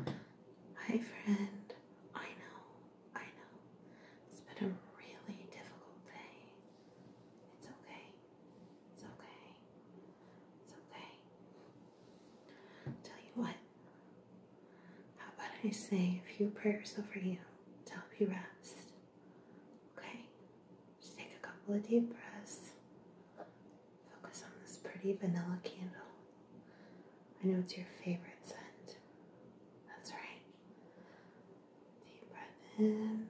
Hi, friend. I know, I know. It's been a really difficult day. It's okay. It's okay. It's okay. Tell you what, how about I say a few prayers over you to help you rest? Okay? Just take a couple of deep breaths. Focus on this pretty vanilla candle. I know it's your favorite scent. That's right. Deep breath in,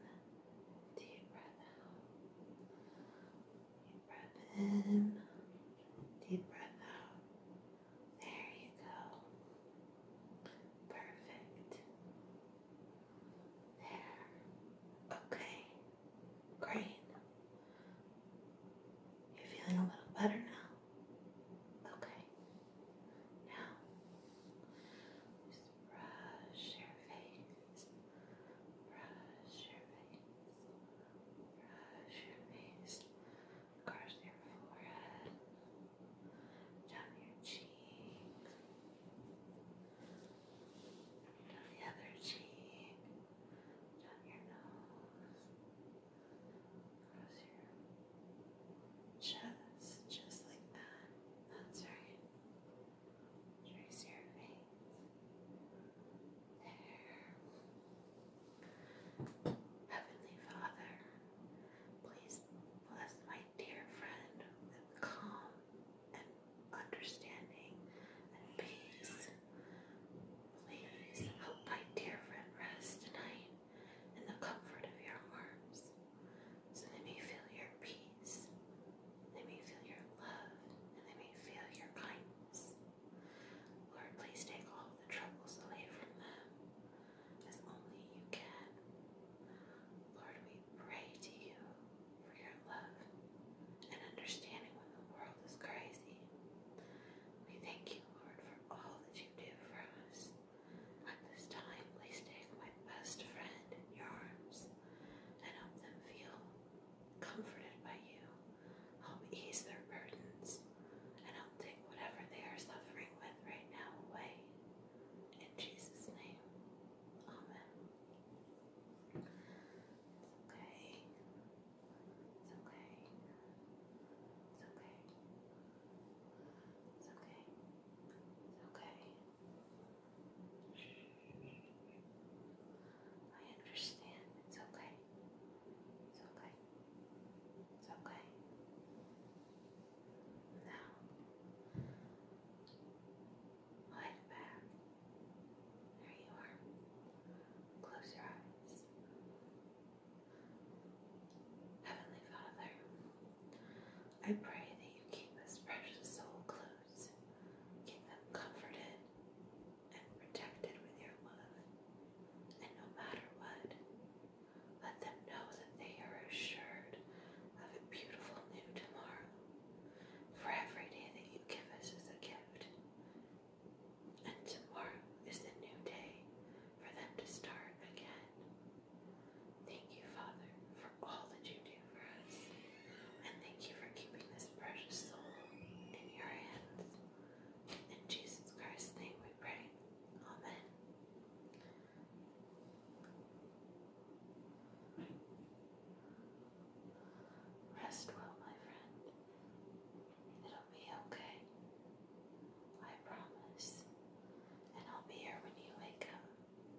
deep breath out. Deep breath in, deep breath out. There you go. Perfect. There. Okay. Great. You're feeling a little better now? Okay. Now, just brush your face. Brush your face. Brush your face. Across your forehead. Down your cheeks down the other cheek, down your nose, across your chest, just like that. That's right. Trace your veins. There. Heavenly Father, please bless my my dear friend, with calm and understanding and peace. Please help my dear friend rest tonight in the comfort of your arms. So they may feel your peace, they may feel your love, and they may feel your kindness. Lord, please take all the troubles away from them as only you can. Lord, we pray to you for your love and understanding when the world is crazy. We thank you, Lord, for all that you do for us. At this time, please take my best friend in your arms and help them feel comforted by you I'll ease their burdens, and I'll take whatever they are suffering with right now away. In Jesus' name, Amen. It's okay. It's okay. It's okay. It's okay. It's okay. I understand. It's okay. It's okay. It's okay. Now, lie back. There you are. Close your eyes. Heavenly Father, I pray that you keep this precious soul close, keep them comforted, and protected with your love. And no matter what, let them know that they are assured of a beautiful new tomorrow. For every day that you give us is a gift. And tomorrow is the new day for them to start again. Thank you, Father, for all that you do for us. And thank you for keeping this precious soul in your hands. In Jesus Christ's name we pray. Amen. Rest well, my friend. It'll be okay. I promise. And I'll be here when you wake up.